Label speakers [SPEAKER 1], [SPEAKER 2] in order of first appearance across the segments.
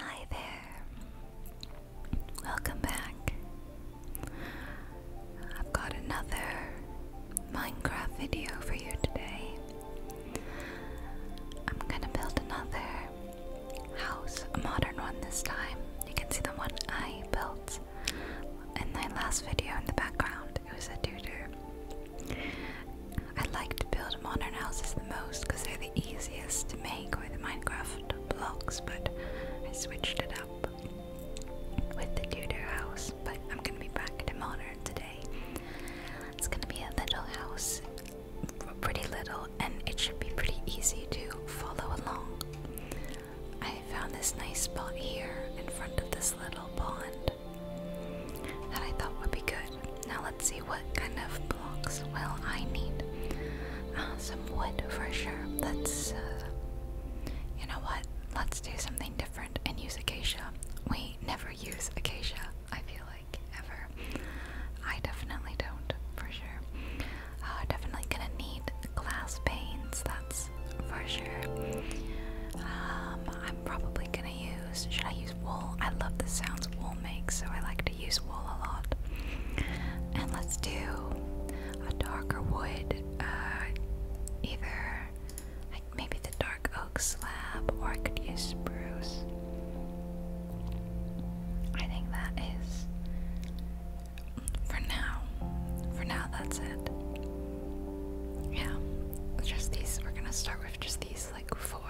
[SPEAKER 1] Hi there. Welcome back. I've got another Minecraft video for you today. I'm gonna build another house, a modern one this time. You can see the one I built in my last video in the background. It was a tutor. I like to build modern houses the most because they're the easiest to make with Minecraft blocks, but I switched it up with the Tudor house. But I'm gonna be back to modern today. It's gonna be a little house, pretty little, and it should be pretty easy to follow along. I found this nice spot here in front of this little pond that I thought would be good now let's see what kind of blocks will I need. Uh, some wood for sure. Let's, uh, you know what? Let's do something different and use acacia. We never use acacia, I feel like, ever. I definitely don't, for sure. Uh, definitely gonna need glass panes, that's for sure. Um, I'm probably gonna use. Should I use? wool. I love the sounds wool makes, so I like to use wool a lot. And let's do a darker wood, uh, either like maybe the dark oak slab, or I could use spruce. I think that is for now. For now, that's it. Yeah, just these. We're gonna start with just these like four.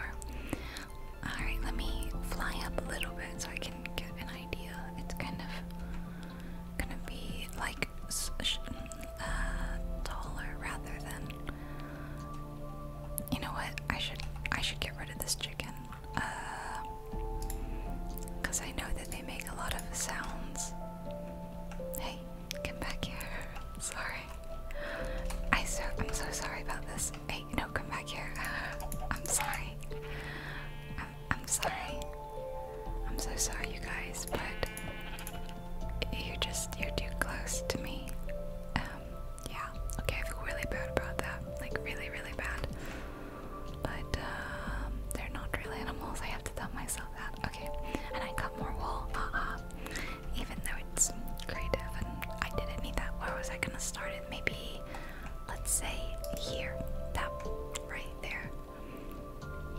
[SPEAKER 1] Alright, let me fly up a little bit so I can get an idea. It's kind of gonna be like uh, taller rather than. You know what? I should I should get rid of this chicken. Uh, Cause I know that they make a lot of sounds. Hey, come back here. Sorry. I so I'm so sorry about this. Wait, no, come back here. I'm sorry. I'm, sorry. I'm so sorry, you guys, but you're just, you're too close to me. Um, yeah, okay, I feel really bad about that. Like, really, really bad. But, um, they're not real animals. I have to tell myself that. Okay, and I cut more wool. Uh uh. Even though it's creative and I didn't need that. Where was I gonna start it? Maybe let's say here, that right there.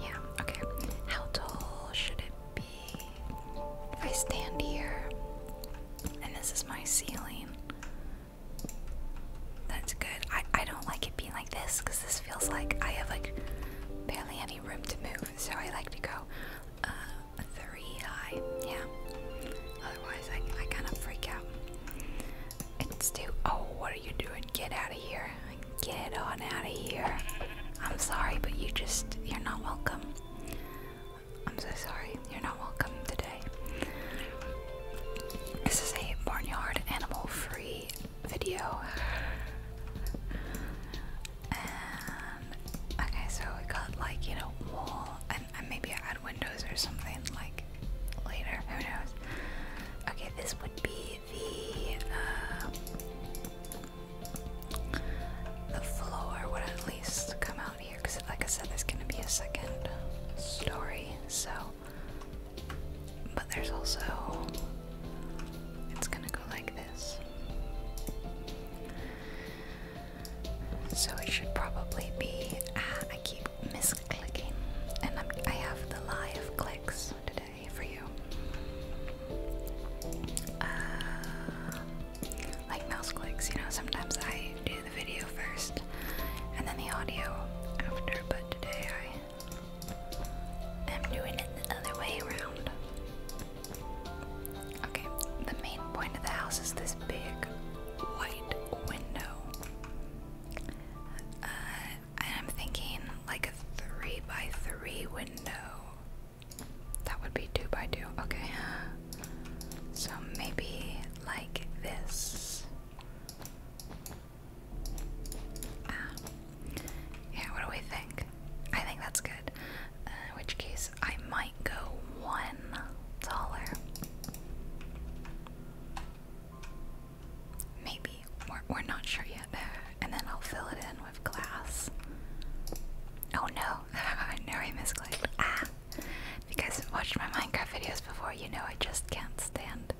[SPEAKER 1] Yeah, okay. How tall should it be? If I stand here and this is my ceiling, that's good. I, I don't like it being like this because this feels like I have like barely any room to move, so I like to go uh, yeah. Otherwise, I, I kind of freak out. It's too. Oh, what are you doing? Get out of here. Get on out of here. I'm sorry, but you just. You're not welcome. I'm so sorry. You're not welcome today. This is a barnyard animal free video. Okay, so we got like, you know, wool and and uh, maybe add windows or something like later. Who knows? Okay, this would be the uh, the floor would at least come out here because, like I said, there's gonna be a second story. So, but there's also it's gonna go like this. So it should probably be. Uh, I keep misclicking, and I'm, I have the live clicks today for you. Uh, like mouse clicks, you know, sometimes I do the video first and then the audio after, but today I am doing it the other way around. Okay, the main point of the house is this big white window. Uh, I'm thinking like a three by three window. That would be two by two. Okay. So maybe like this. Ah. Yeah, what do we think? I think that's good. Uh, in which case, I might go one taller. Maybe. We're, we're not sure yet. Uh, and then I'll fill it in with glass. Oh no, I know I misclicked. Ah! If you guys have watched my Minecraft videos before, you know I just can't stand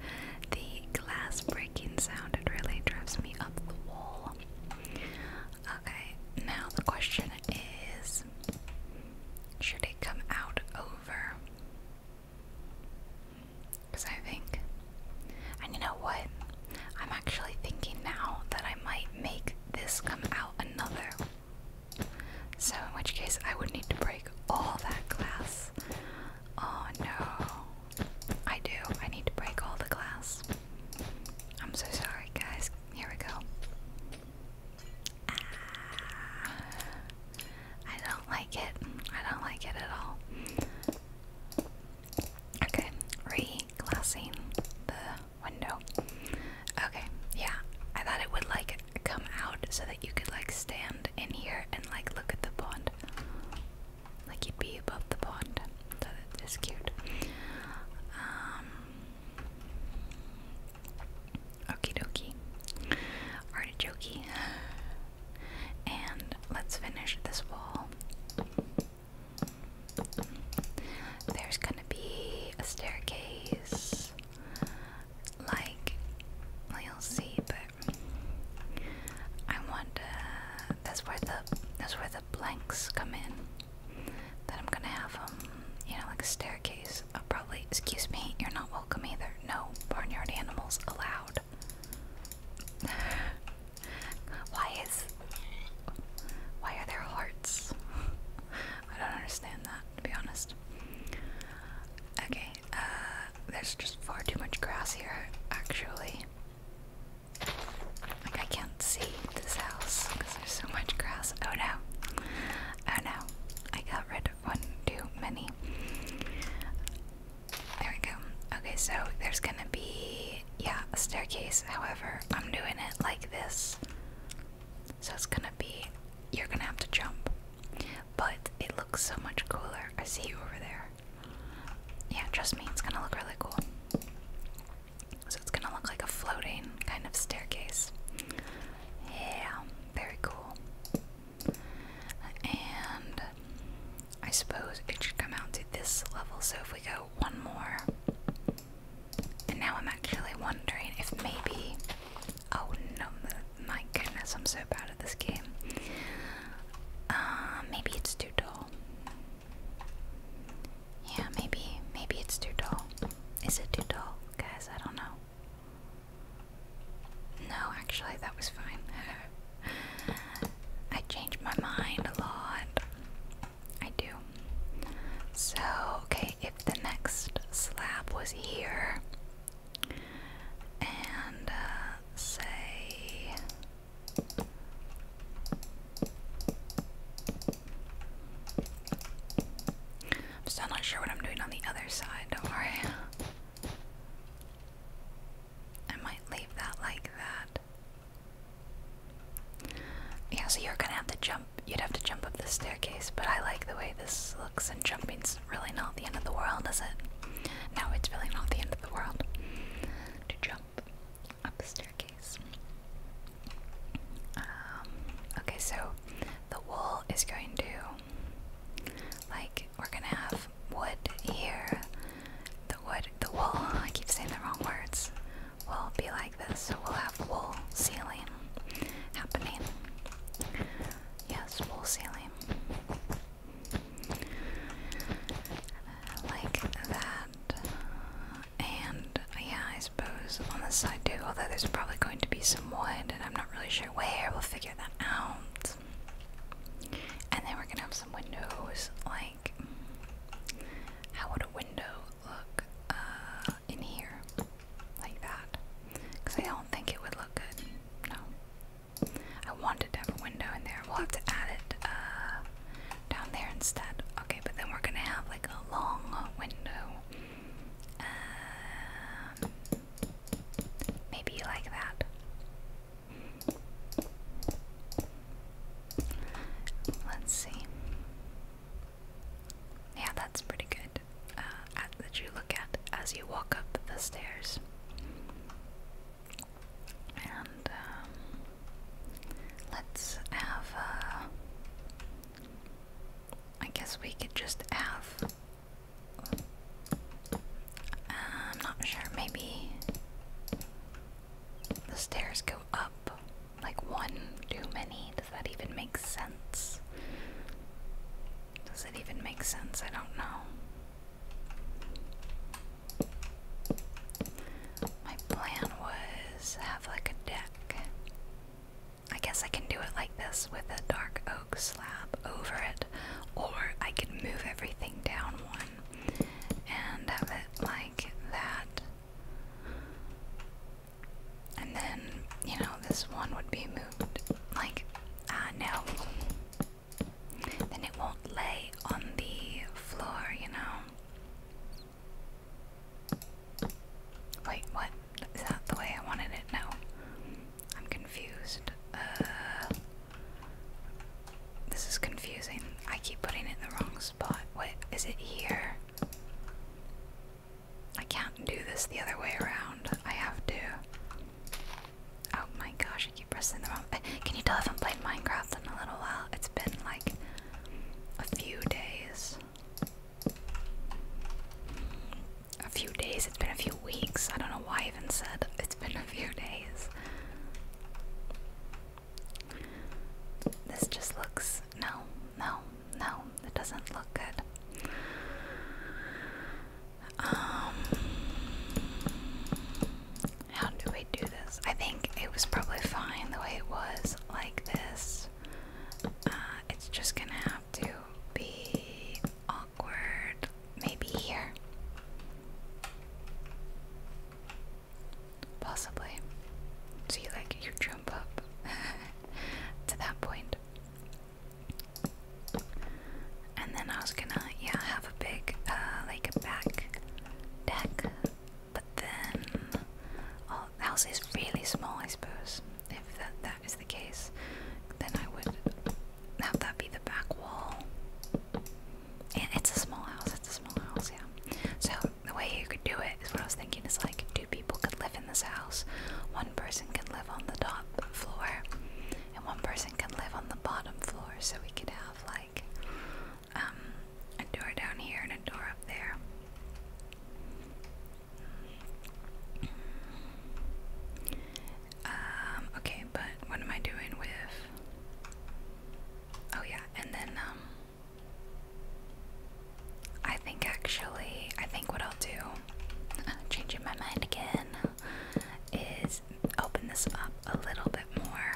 [SPEAKER 1] the glass breaking sound. It really drives me up the wall. Okay, now the question is should it come out because I think. And you know what? I'm actually thinking now that I might make this come out another. So, in which case, I would need to break all that glass. Oh no. I do. I need to break all the glass. I'm so sorry, guys. Here we go. Ah. I don't like it. I don't like it at all. Okay, re the window. Okay, yeah. I thought it would like come out so that you could like stand in here and like look at the pond. Like you'd be above the pond. that is cute. Um, Okie dokie. Artichoke. And let's finish this wall. There's gonna be a staircase. Like, well, you'll see, but I want uh, that's where the that's where the blanks come in. That I'm gonna have them, um, you know, like a staircase. I'll oh, probably excuse me, you're not welcome either. No barnyard animals allowed. why is why are there hearts? I don't understand that to be honest. Okay, uh, there's just far too much grass here actually. Like I can't see this house because there's so much grass. Oh no. Oh no. I got rid one too many. There we go. Okay, so there's gonna be, yeah, a staircase. However, I'm doing it like this. So it's gonna be, you're gonna have to jump. But it looks so much cooler. I see you over there. Yeah, trust me, it's gonna look really cool. So it's gonna look like a floating kind of staircase. Yeah, very cool. And I suppose it should come out to this level, so if we go one more. And now I'm actually wondering if maybe. Oh no, my goodness, I'm so bad at this game. Uh, maybe it's too dull. Yeah, maybe, maybe it's too dull. Is it too dull, guys? I don't know. No, actually, that was fine. I change my mind a lot. I do. So, okay, if the next slab was here, and uh, say. I'm still not sure what I'm doing on the other side, don't worry. I might leave that like that. Yeah, so you're gonna have to jump. You'd have to jump up the staircase, but I like the way this looks, and jumping's really not the end of the world, is it? No, it's really not the end of the world to jump up the staircase. Um, okay, so the wall is going to like we're gonna have wood here. The wood, the wool. I keep saying the wrong words. Will be like this, so we'll have wool ceiling happening. Yes, wool ceiling. Like that. And yeah, I suppose on this side too, although there's probably going to be some wood, and I'm not really sure we'll figure that out. And then we're gonna have some windows, like, how would a window look uh, in here? Like that. Because I don't think it would look good. No. I want to have a window in there. We'll have to add it uh, down there instead. Okay, but then we're gonna have like a long window. Um, Maybe like that. Let's see. Yeah, that's pretty good. Uh, that you look at as you walk up the stairs. And um, let's have. Uh, I guess we could just have I'm not sure, maybe the stairs go up like one too many. Does that even make sense? Does it even make sense? I don't know. My plan was have like a deck. I guess I can do it like this with a dark oak slab over it. Or I could move everything down one and have it like that. And then, you know, this one would be moved like, ah, no. Then it won't lay on the floor, you know. Wait, what? Is that the way I wanted it? No. I'm confused. Uh, this is confusing. I keep putting it in the wrong spot. What is it here? I can't do this the other way around. I have to. Oh my gosh, I keep pressing the wrong. Eh, can you tell I haven't played Minecraft in a little while? It's been like a few days a few days, it's been a few weeks. I don't know why I even said it's been a few days. This just looks. No, no, no, it doesn't look good. Um. How do we do this? I think it was probably fine the way it was, like this. Uh, it's just gonna have to be awkward. Maybe here. Possibly. So you like your jump up to that And then I was gonna, yeah, have a big, uh, like back deck, but then, oh, the house is really small, I suppose, if that, that is the case, then I would have that be the back wall. it's a small house, it's a small house, yeah. So the way you could do it is what I was thinking is like two people could live in this house, one person can live on the top floor, and one person can live on the bottom floor, so we could have like um, a door down here and a door up there. Um, okay, but what am I doing with. Oh, yeah, and then, um, I think actually, I think what I'll do, changing my mind again, is open this up a little bit more,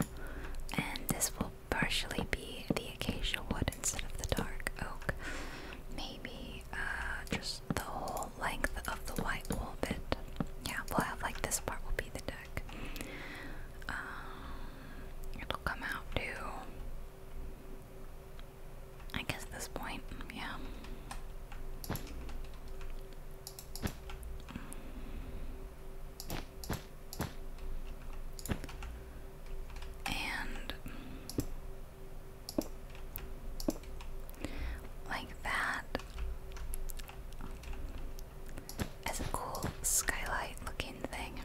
[SPEAKER 1] and this will partially be the acacia wood instead of the dark oak. Maybe uh, just the whole length of the white wall bit. Yeah, we'll have like this part will be the deck. Um, it'll come out to, I guess, this point. Yeah. And like that as a cool skylight looking thing.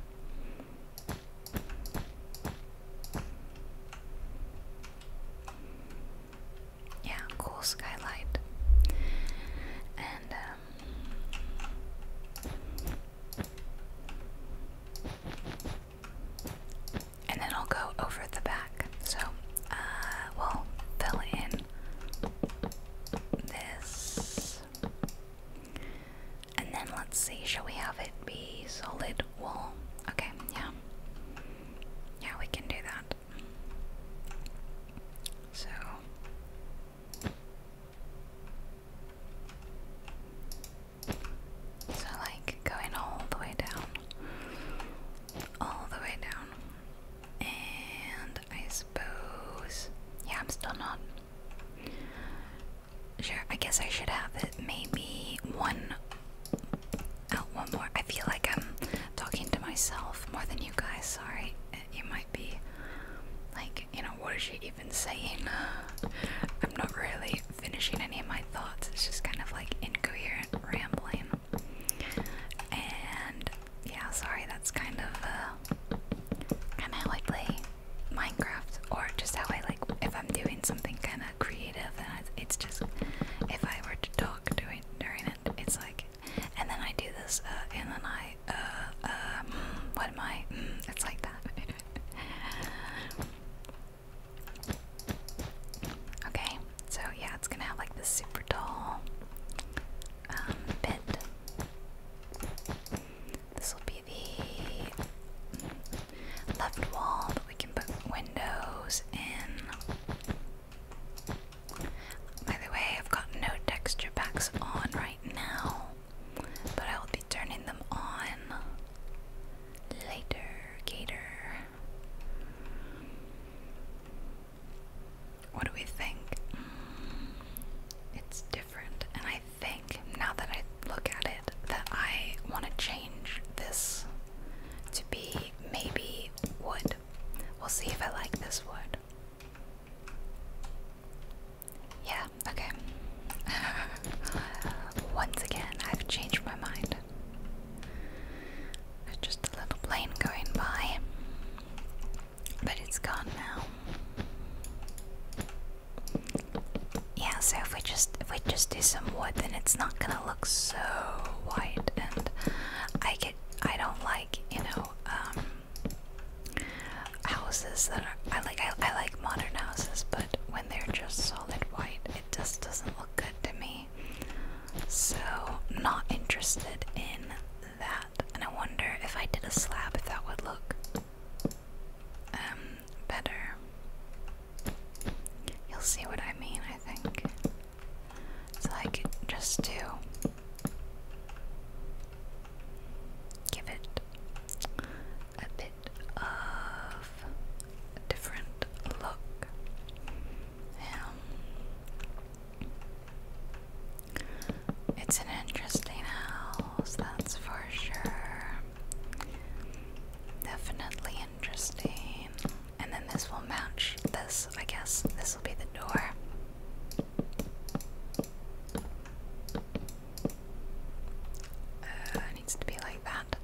[SPEAKER 1] Yeah, cool skylight. And um, and then I'll go over the back. So uh, we'll fill in this. And then let's see, shall we have it be solid wool? Okay, yeah. Yeah, we can do that. So. So, like, going all the way down. All the way down. And I suppose, yeah, I'm still not sure. I guess I should have maybe oh, one more. I feel like I'm talking to myself more than you guys. Sorry, you might be like, you know, what is she even saying? I'm not really finishing any of my thoughts. It's just kind of like incoherent rambling. And yeah, sorry, that's kind of uh, kind of how I play Minecraft, or just how I like if I'm doing something kind of creative. And it's just if I were to talk during during it, it's like, and then I do this, uh, and then I, uh, uh, what am I? Mm, it's like that. okay. So yeah, it's gonna have like this super tall um, This will be the left wall but we can put windows in. By the way, I've got no texture packs on right now, but I will be turning them on later. Gator. What do we think? Mm, it's different, and I think now that I look at it, that I want to change this to be maybe wood. We'll see if I like this wood. Yeah, okay. Once again, I've changed my mind just a little plane going by, but it's gone now. Yeah, so if we just if we just do some wood, then it's not gonna look so white, and I get I don't like you know um, houses that are I like I, I like modern houses, but when they're just solid white, it just doesn't look good to me. So, not interested in that. And I wonder if I did a slab if that would look um, better. You'll see what I mean, I think. So I could just do give it a bit of different look. It's an interesting house, that's for sure. Definitely interesting. And then this will match this, I guess. This will be the door. Uh, it needs to be like that.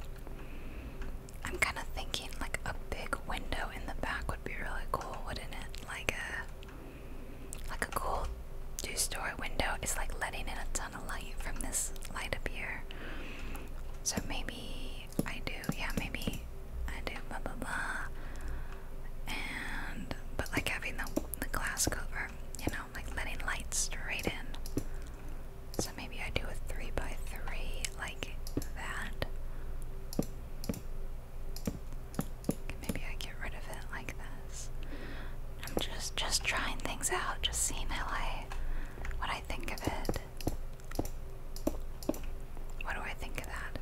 [SPEAKER 1] I'm kind of thinking like a big window in the back would be really cool, wouldn't it? Like a like a cool two-story window. It's like letting in a ton of light from this light up here. So maybe I do, yeah, maybe I do blah blah blah. And but like having the the glass cover, you know, like letting light straight in. So maybe I do a three by three like that. Maybe I get rid of it like this. I'm just just trying things out, just seeing how I what I think of it. What do I think of that?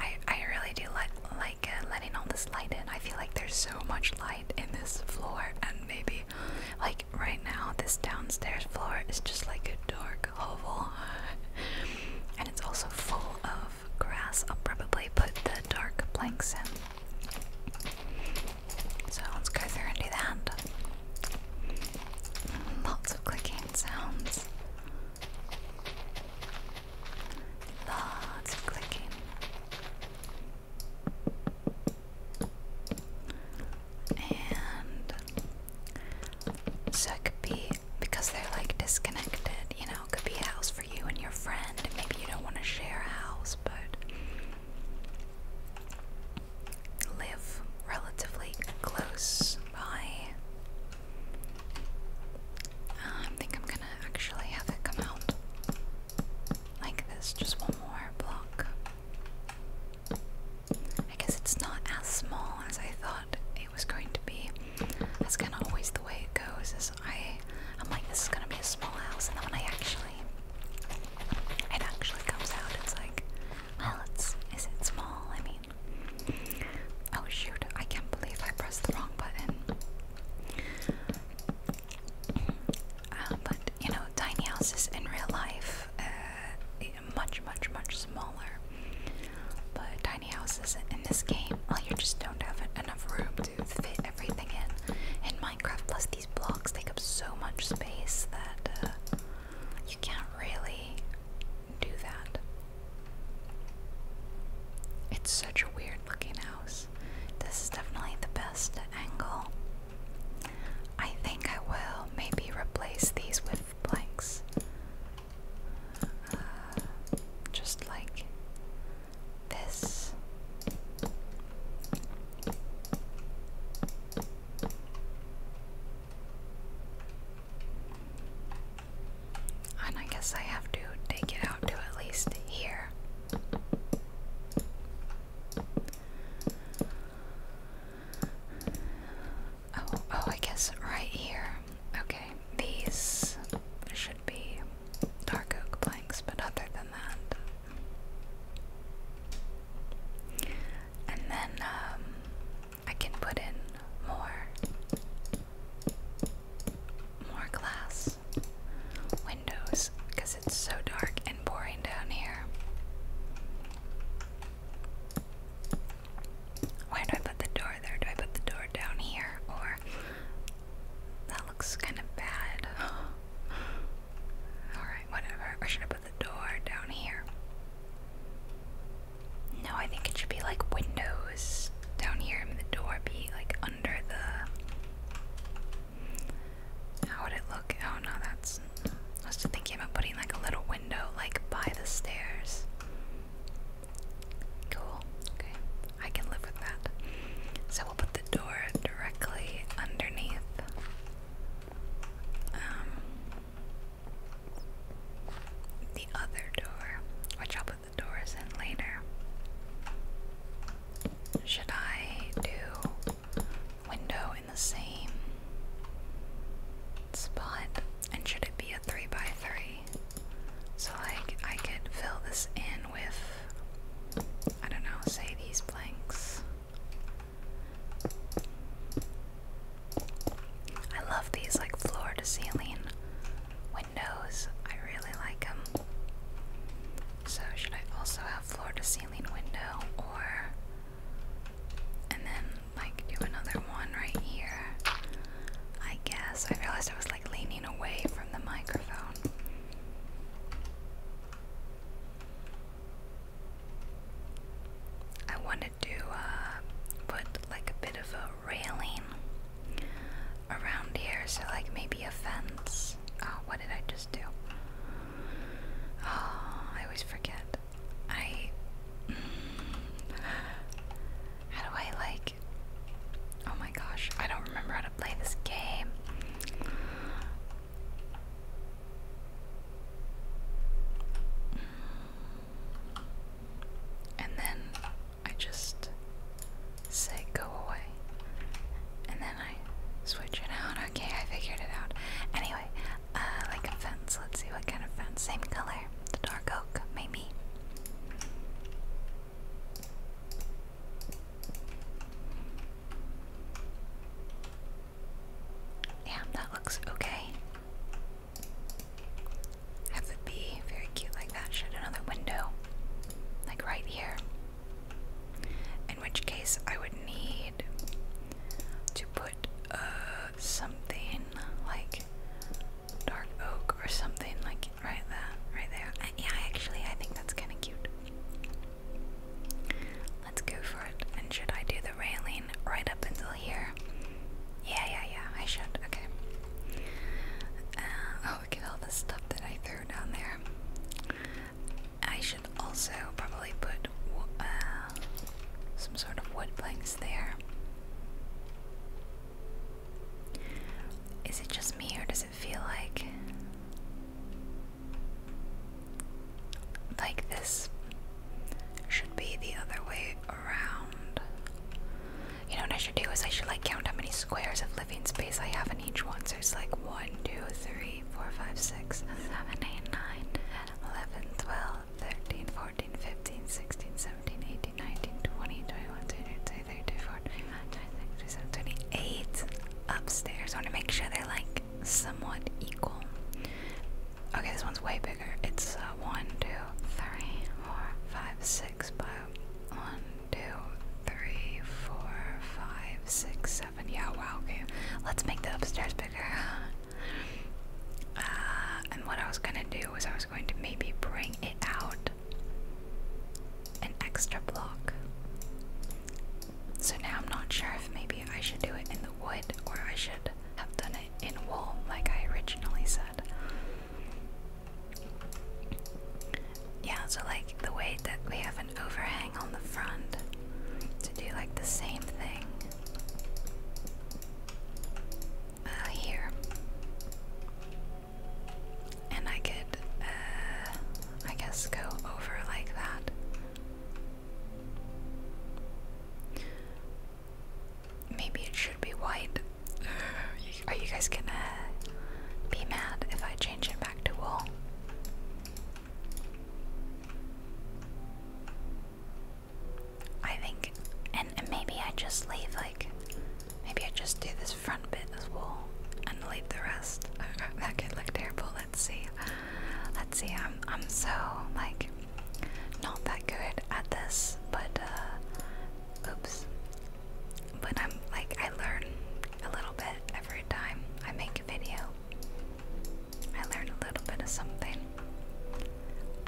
[SPEAKER 1] I I really do li like uh, letting all this light in. I feel like there's so much light in this floor, and maybe like right now this downstairs floor is just like a dark hovel. and it's also full of grass. I'll probably put the dark blanks in. So let's go through and do that. Lots of clicking sounds. Lots of clicking. And so because they're like disconnected. You know, could be a house for you and your friend. Maybe you don't want to share a house, but live relatively close by. Um, I think I'm gonna actually have it come out like this, just one more block. I guess it's not as small as I thought it was going to be. That's kind of always the way it goes. Is I, I'm like, this is gonna be a small house, and then when I actually, it actually comes out, it's like, well, it's is it small? I mean, oh shoot, I can't believe I pressed the wrong button. Uh, but you know, tiny houses in real life, uh, much, much, much smaller. But tiny houses in this game, well, you just don't have enough room to fit everything in. In Minecraft, plus these blocks take up so much space that uh, you can't really do that. It's such a weird looking house. This is definitely the best angle. I think I will maybe replace these with planks. Uh, just like this. And I guess I have to take it out to at least here. Oh, oh, I guess right here. Okay, these should be dark oak planks, but other than that. And then um, I can put in more. More glass windows because it's so dark and boring down here. Where do I put the door? There, do I put the door down here? Or. That looks kind of bad. Alright, whatever. Or should put the door down here? No, I think it should be like windows down here and the door be like under the. How would it look? Oh no, that's. I was just thinking about putting like a little window like by the stairs. Cool. Okay. I can live with that. So we'll put the door directly underneath. Um, the other door, which I'll put the doors in later. Should I do window in the same spot and should it be a 3 by 3 so like I could fill this in with I don't know say these blanks I love these like floor to ceiling windows I really like them so should I also have floor to ceiling window or and then like do another one right here. I guess. I realized I was like leaning away from the microphone. I wanted to uh, put like a bit of a railing around here, so like maybe a fence. Oh, what did I just do? Oh, I always forget. I. how do I like oh my gosh, I don't remember how to play this game. And then I just say go away. And then I switch it out. Okay, I figured it out. Anyway, uh, like a fence. Let's see what kind of fence. Same color. The dark oak, maybe. Damn, that looks okay. Have the bee, very cute like that, shut another window. Like right here. In which case I would need to put uh, something like dark oak or something like right there, right there. I, yeah, actually, I think that's kind of cute. Let's go for it. And should I do the railing right up until here? Yeah, yeah, yeah. I should. Okay. Uh, oh, look at all the stuff that I threw down there. I should also probably put uh, some sort of wood planks there. Is it just me or does it feel like like this should be the other way around? You know what I should do is I should like count how many squares of living space I have in each one. So it's like 1, 2, 3, 4, 5, 6, 7, 8, 9, 11, 12, 13, 14, 15, 16, 17. 18, 19, 20, 21, 22, 24, 25, 26, 27, upstairs. want to make sure they're like somewhat equal. Okay, this one's way bigger. It's uh, by 1, Yeah, wow, okay. Let's make the upstairs bigger. Uh, and what I was gonna do was I was going to maybe bring it out an extra block. So now I'm not sure if maybe I should do it in the wood or I should have done it in wool like I originally said. Yeah, so like the way that we have an overhang on the front to do like the same thing uh, here and I could, uh, I guess, go over like that. Maybe it should be white. Are you guys gonna be mad if I change it back to wool? I think, and maybe I just leave like Maybe I just do this front bit as well and leave the rest. Oh, that could look terrible. Let's see. Let's see. I'm I'm so like not that good at this, but uh, oops. But I'm like I learn a little bit every time I make a video. I learn a little bit of something.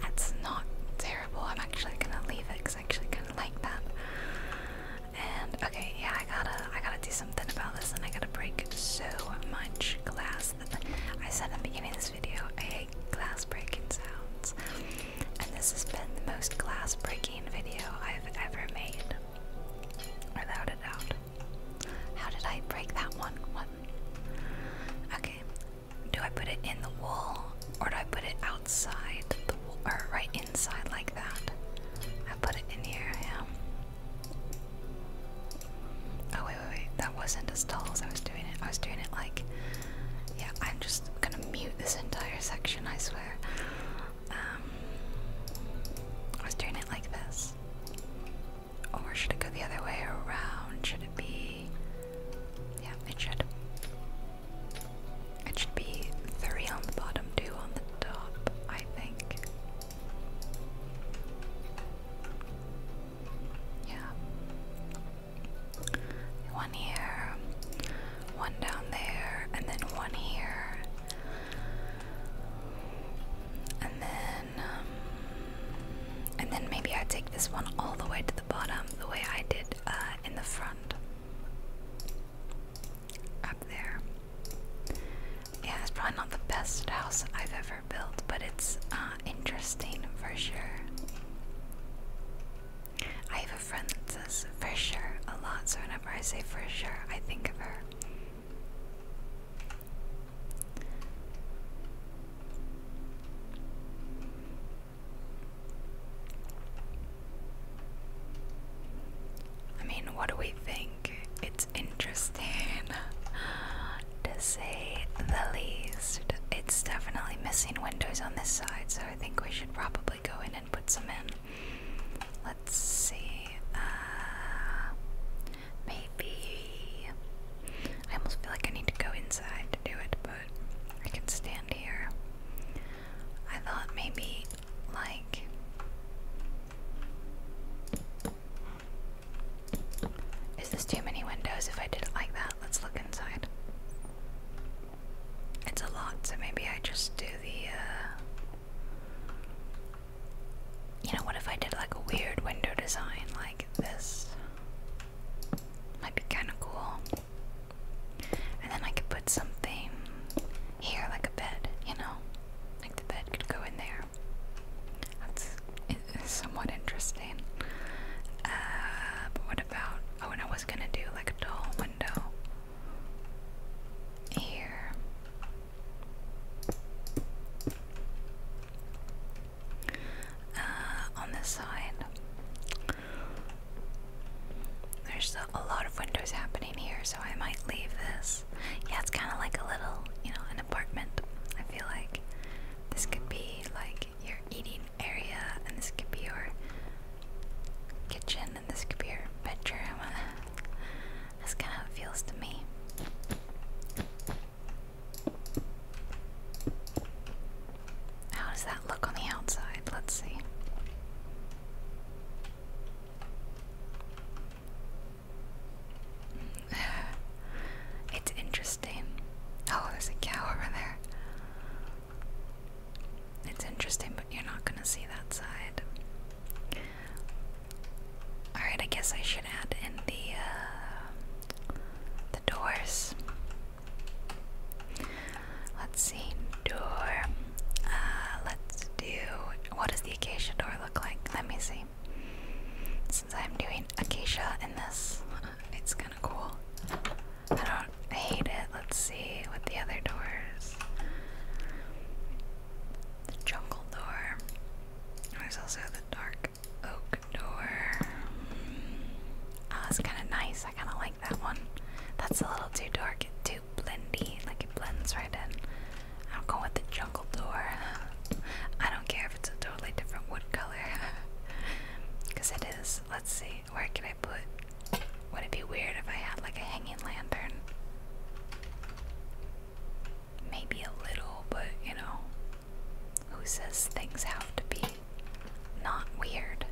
[SPEAKER 1] That's not terrible. I'm actually gonna leave it was actually kind of like that. And okay, yeah, I gotta, I gotta do something about this, and I gotta break so much glass. That I said at the beginning of this video, I hate glass breaking sounds, and this has been the most glass breaking video I've ever made, without a doubt. How did I break that one? What? Okay, do I put it in the wall or do I put it outside or right inside like that? I put it in here, Oh wait, wait, wait, that wasn't as tall as I was doing it. I was doing it like, yeah, I'm just gonna mute this entire section, I swear. Um, I was doing it like this. Or should it go the other way around? Should it be yeah, it should. It should be three on the bottom, two on the top, I think. Yeah. One here, one down there, and then one here. And then, um, and then maybe I take this one all the way to the the bottom the way I did uh, in the front. Up there. Yeah, it's probably not the best house I've ever built, but it's uh, interesting for sure. I have a friend that says for sure a lot, so whenever I say for sure, I think of her. I mean, what do we think? It's interesting to say the least. It's definitely missing windows on this side, so I think we should probably go in and put some in. Let's see. Uh, maybe. I almost feel like I need to go inside to do it, but I can stand here. I thought maybe like is this too many windows if I did it like that? Let's look inside. It's a lot, so maybe I just do the uh you know what if I did like a weird window design like this? Might be kinda cool. And then I could put something here, like a bed, you know? Like the bed could go in there. That's somewhat interesting. Uh, but what about. Oh, and I was gonna do like a tall window here. Uh, on this side. There's a lot of windows happening here, so I might leave this. Yeah, it's kind of like a little, you know, an apartment. I feel like this could be like your eating area, and this could be your kitchen, and this could be your bedroom. That's kind of how it feels to me. How does that look on the outside? Let's see. it's interesting. Oh, there's a cow over there. It's interesting, but you're not gonna see that side. Alright, I guess I should add in the uh, the doors. Let's see. Door. Uh, let's do. What does the acacia door look like? Let me see. Since I'm doing acacia in this, it's kind of cool. I don't hate it. Let's see what the other doors. The jungle door. There's also the dark oak door. Mm. Ah, oh, kind of nice. I kind of like that one. That's a little too dark too blendy. Like it blends right in. I'm going with the jungle door. I don't care if it's a totally different wood color. Because it is. Let's see. Where can I put. Would it be weird if I had like a hanging lantern? Maybe a little, but you know. Who says things have to be not weird?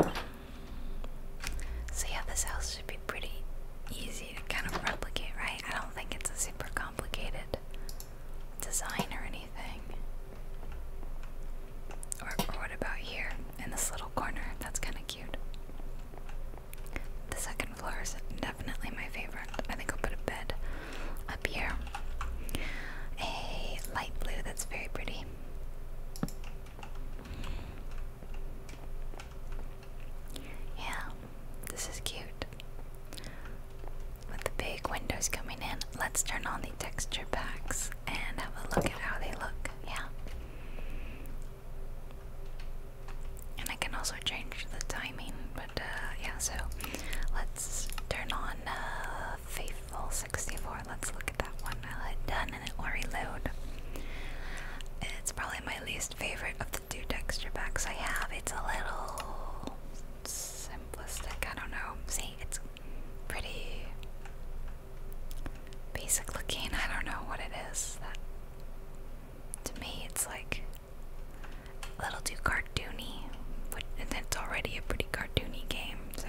[SPEAKER 1] Um, so yeah, this house should be pretty easy to kind of replicate, right? I don't think it's a super complicated design or anything. or what about here in this little corner? That's kind of cute. The second floor is definitely my favorite. I think I'll put a bed up here. A light blue that's very pretty. Yeah, this is cute. With the big windows coming in, let's turn on the texture packs and have a look at how they look. Yeah. And I can also change the timing, but uh, yeah, so let's turn on uh, Faithful 64. Let's look at that one. I'll hit done and it will reload. It's probably my least favorite of the two texture packs I have. It's a little simplistic. I don't know. See, it's pretty basic looking. I don't know what it is. to me, it's like a little too cartoony cartoony, which, and it's already a pretty cartoony game, so.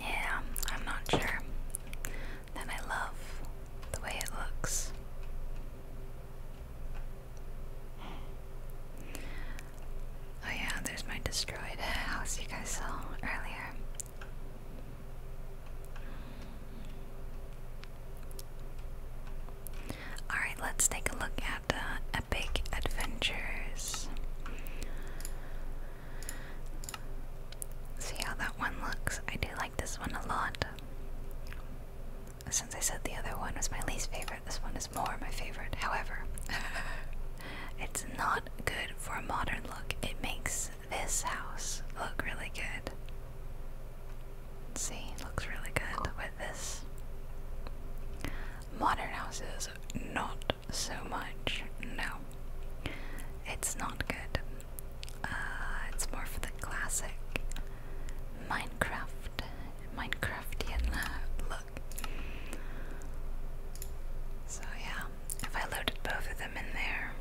[SPEAKER 1] Yeah, I'm not sure that I love the way it looks. Oh, yeah, there's my destroyed house you guys saw earlier. Alright, let's take a look at uh, Epic Adventures. See how that one looks? I do like this one a lot. Since I said the other one was my least favorite, this one is more my favorite. However, it's not good for a modern look. It makes this house look really good? See, looks really good with this. Modern houses, not so much. No, it's not good. Uh, it's more for the classic Minecraft, Minecraftian uh, look. So yeah, if I loaded both of in there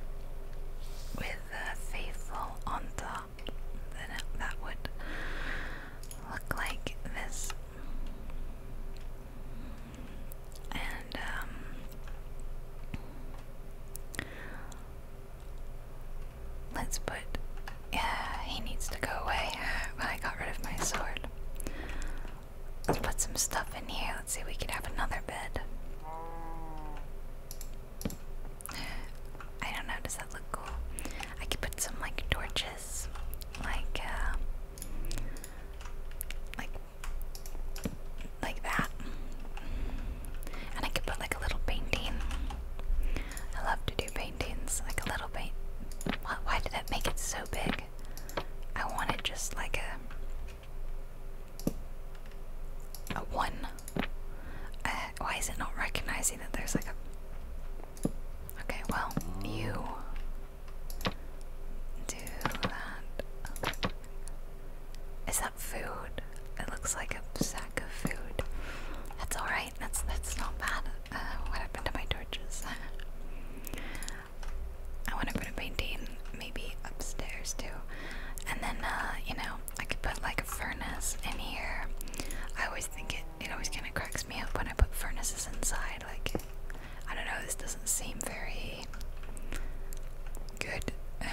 [SPEAKER 1] with uh, faithful on top, then that would look like this. And um, let's put. Yeah, he needs to go away. I got rid of my sword. Let's put some stuff in here. Let's see, we could have another bed. I don't know, does that look cool? I could put some like torches, like, uh, like, like that. And I could put like a little painting. I love to do paintings, like a little paint. Why did that make it so big? I want it just like a a one. Uh, why is it not recognizing that there's like a. Okay, well, you. Do that. Is that food? It looks like a sack of food. That's alright, that's, that's not bad. Uh, what happened to my torches? I want to put a painting maybe upstairs too. And then, uh, you know, I could put like a furnace in here. I always think it, it always kind of cracks me up when I put furnaces inside. Like, I don't know, this doesn't seem very good.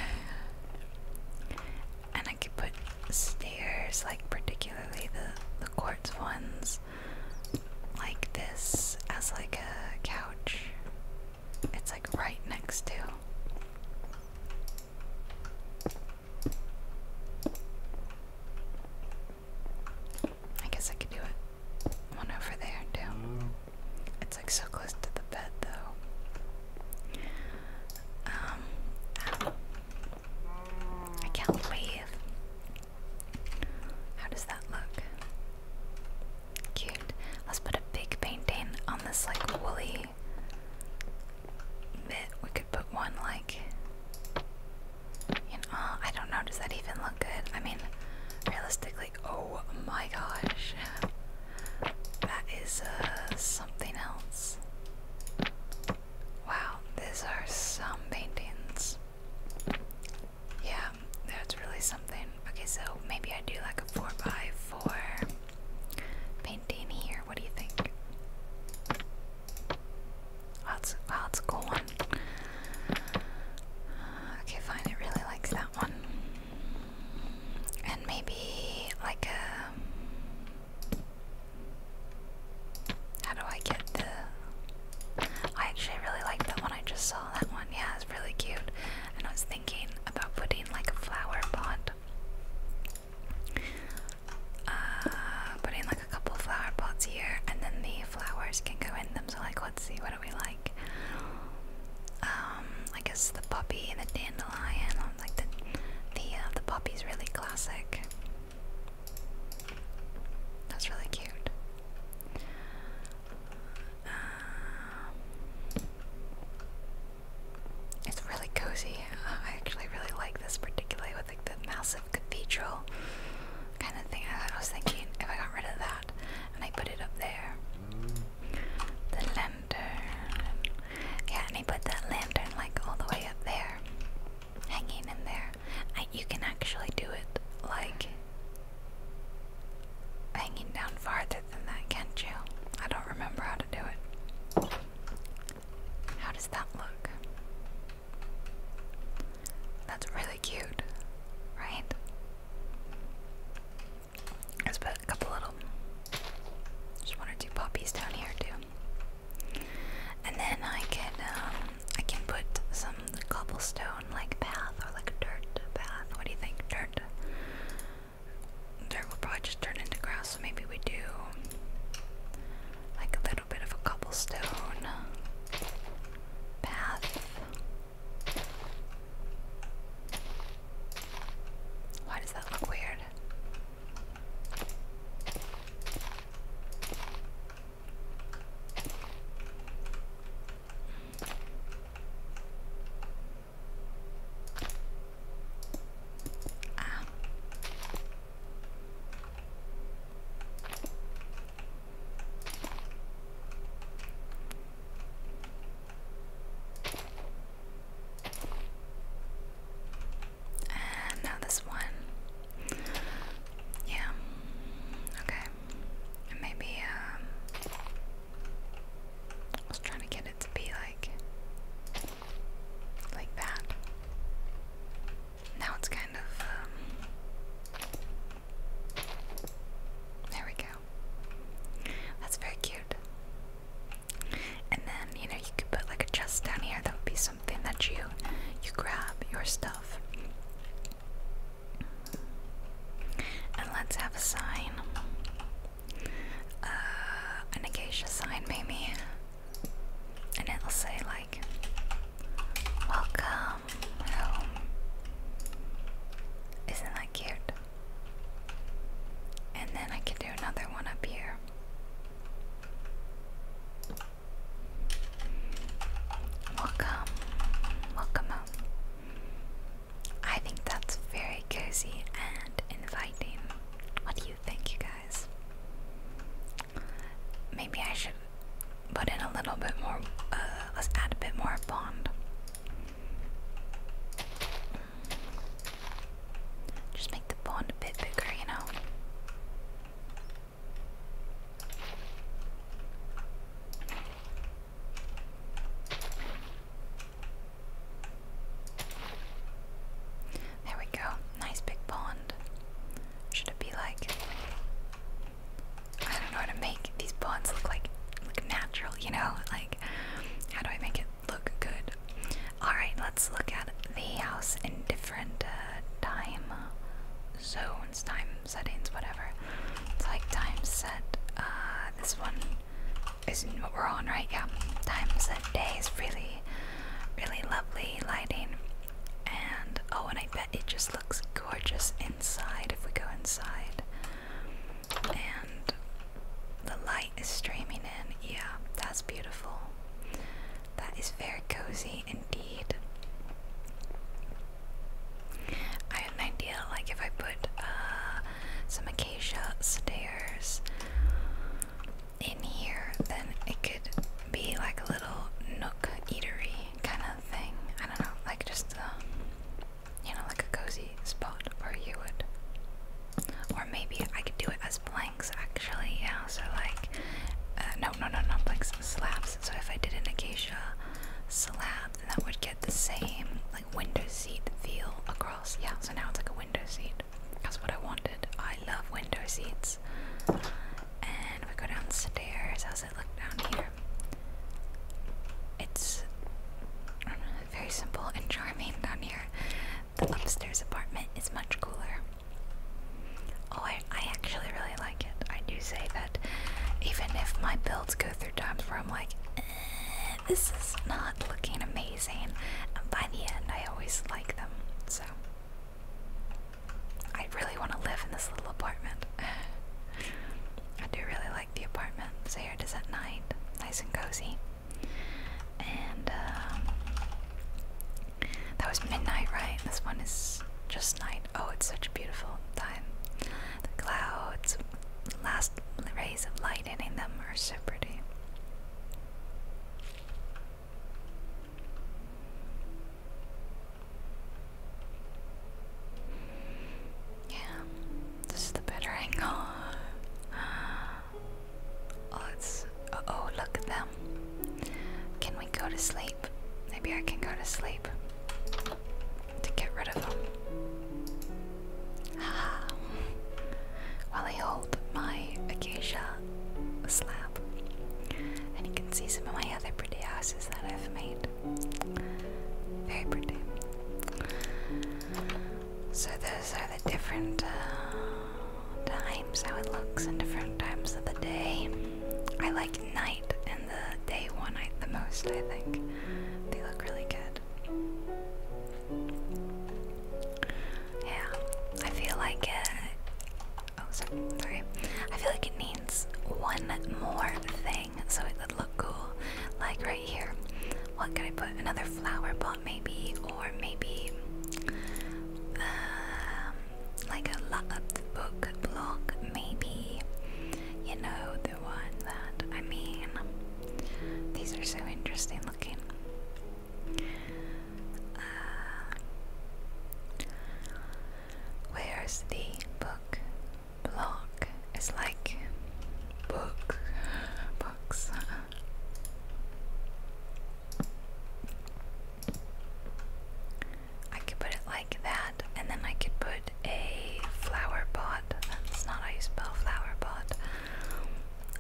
[SPEAKER 1] And I could put stairs, like particularly the the quartz ones, like this as like a couch. It's like right next to. I guess I could do it. One over there, too. Mm. It's like so close to the bed, though. Um, ah. I can't wave. How does that look? Cute. Let's put a big painting on this like woolly actually. we could put one like you uh, know, I don't know, does that even look good? I mean, realistically, oh my gosh. That is uh, something else. Wow, these are some paintings. Yeah, that's really something. Okay, so maybe I do like a 4x4. Painting here, what do you think? That's it's, a cool one. Uh, okay, fine, I really likes that one. And maybe like a. Uh, how do I get the. I actually really like that one I just saw. That one, yeah, it's really cute. And I was thinking about putting like a flower pot uh, like a couple flower pots here, and then the flowers can go in them. So, like, let's see, what do we like? Um, I guess the poppy, the dandelion, um, like the the uh, the poppy's really classic. That's really cute. Um, it's really cozy. Uh, I actually really like this, particularly with like the massive cathedral kind of thing. I, was thinking if I got rid of that and I put it up there, the lantern. Yeah, and I put that lantern like all the way up there, hanging in there. you can actually do it like hanging down farther than that, can't you? I don't remember how to do it. How does that look? That's really cute, right? Let's put a couple little, just one or two poppies down here too, and then I can um, I can put some cobblestone like path or like a dirt path. What do you think, dirt? Dirt will probably just turn into grass, so maybe we do like a little bit of a cobblestone path. Why does that look weird? Ah. And now this one. Yeah. Okay. maybe, um, I was trying to get it to be like like that. Now it's kind of, um, there we go. That's very cute. And then, you know, you could put like a chest down here. That would be something that you, you grab your stuff. And let's have a sign. Uh, an acacia sign maybe, and it'll say like, "Welcome home." Isn't that cute? And then I could do another one up here. Welcome, welcome home. I think that's very cozy and inviting. What do you think, you guys? Maybe I should put in a little bit more, uh, let's add a bit more pond. Just make the pond a bit bigger, you know? There we go. Nice big pond. Should it be like. I don't know how to make these ponds look like. look natural, you know? Like, how do I make it look good? Alright, let's look at the house in different uh, time zones, time settings, whatever. It's like time set. Uh, this one isn't what we're on, right? Yeah. Time set days is really Really lovely lighting. And oh, and I bet it just looks gorgeous inside if we go inside. And the light is streaming in. Yeah, that's beautiful. That is very cozy indeed. I have an idea like if I put uh, some acacia stairs in here, then it could be like a little nook eatery kind of thing. I don't know, like just a uh, you know, like a cozy spot where you would. Or maybe I could do it as planks actually, yeah. So, like, uh, no, no, no, not planks, slabs. So, if I did an acacia slab, then that would get the same, like, window seat feel across. Yeah, so now it's like a window seat. That's what I wanted. I love window seats. And we go downstairs. How's it look down here? It's very simple and charming down here. The upstairs apartment is much cooler. Oh, I, actually really like it. I do say that even if my builds go through times where I'm like, eh, this is not looking amazing, by the end I always like them. So I really want to live in this little apartment. I do really like the apartment. So here it is at night, nice and cozy. And um, that was midnight, right? This one is just night. Oh, it's such a beautiful time. The clouds, last rays of light hitting them are so pretty. Yeah, this is the better angle. Oh, it's. oh, look at them. Can we go to sleep? Maybe I can go to sleep to get rid of them. While I hold my acacia slab. And you can see some of my other pretty houses that I've made. Very pretty. So, those are the different uh, times how it looks in different times of the day. I like night and the day one night the most, I think. They look really good. Yeah, I feel like it. Oh, sorry, sorry. I feel like it needs one more thing so it would look cool. Like right here. What could I put? Another flower pot, maybe, or maybe um, like a lot of the book block, maybe. You know, the one that I mean, these are so interesting looking. Uh, where's the book? block? It's like book, books. I could put it like that, and then I could put a flower pot. That's not how you spell flower pot.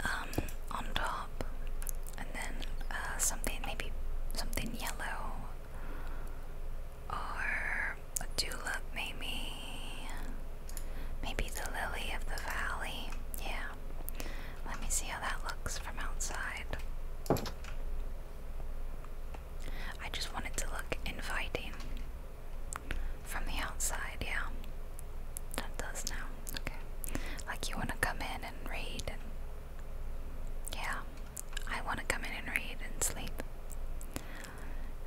[SPEAKER 1] Um, on top and then uh, something maybe something yellow or tulip, maybe. Maybe the lily of the valley. Yeah. Let me see how that looks from outside. I just want to look inviting from the outside, yeah. That does now. Okay. Like you want to come in and read yeah, I want to come in and read and sleep.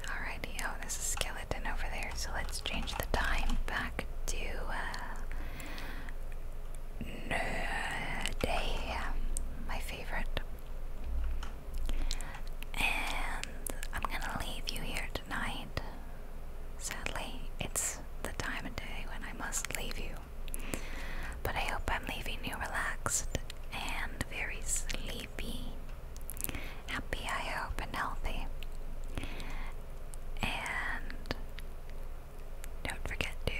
[SPEAKER 1] Alrighty, oh, there's a skeleton over there, so let's change the time back to uh, my favorite. And I'm gonna leave you here tonight. Sadly, it's the time of day when I must leave you. But I hope I'm leaving you relaxed and very sleepy. Happy, I hope, and healthy. And don't forget to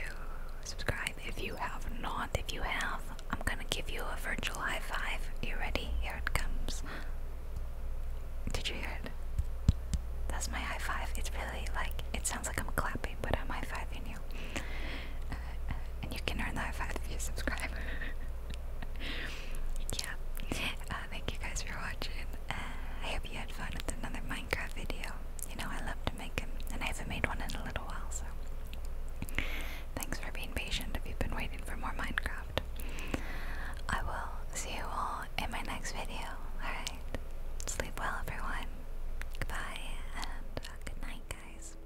[SPEAKER 1] subscribe if you have not. If you have, I'm gonna give you a virtual high five. You ready? Here it comes. Did you hear it? That's my high five. It's really like it sounds like I'm clapping, but I'm high fiving you. Uh, uh, and you can earn the high five if you subscribe. yeah. Uh, thank you guys for watching. I hope you had fun with another Minecraft video. You know I love to make them, and I haven't made one in a little while, so. Thanks for being patient if you've been waiting for more Minecraft. I will see you all in my next video. Alright, Sleep well, everyone. Goodbye and uh, good night, guys.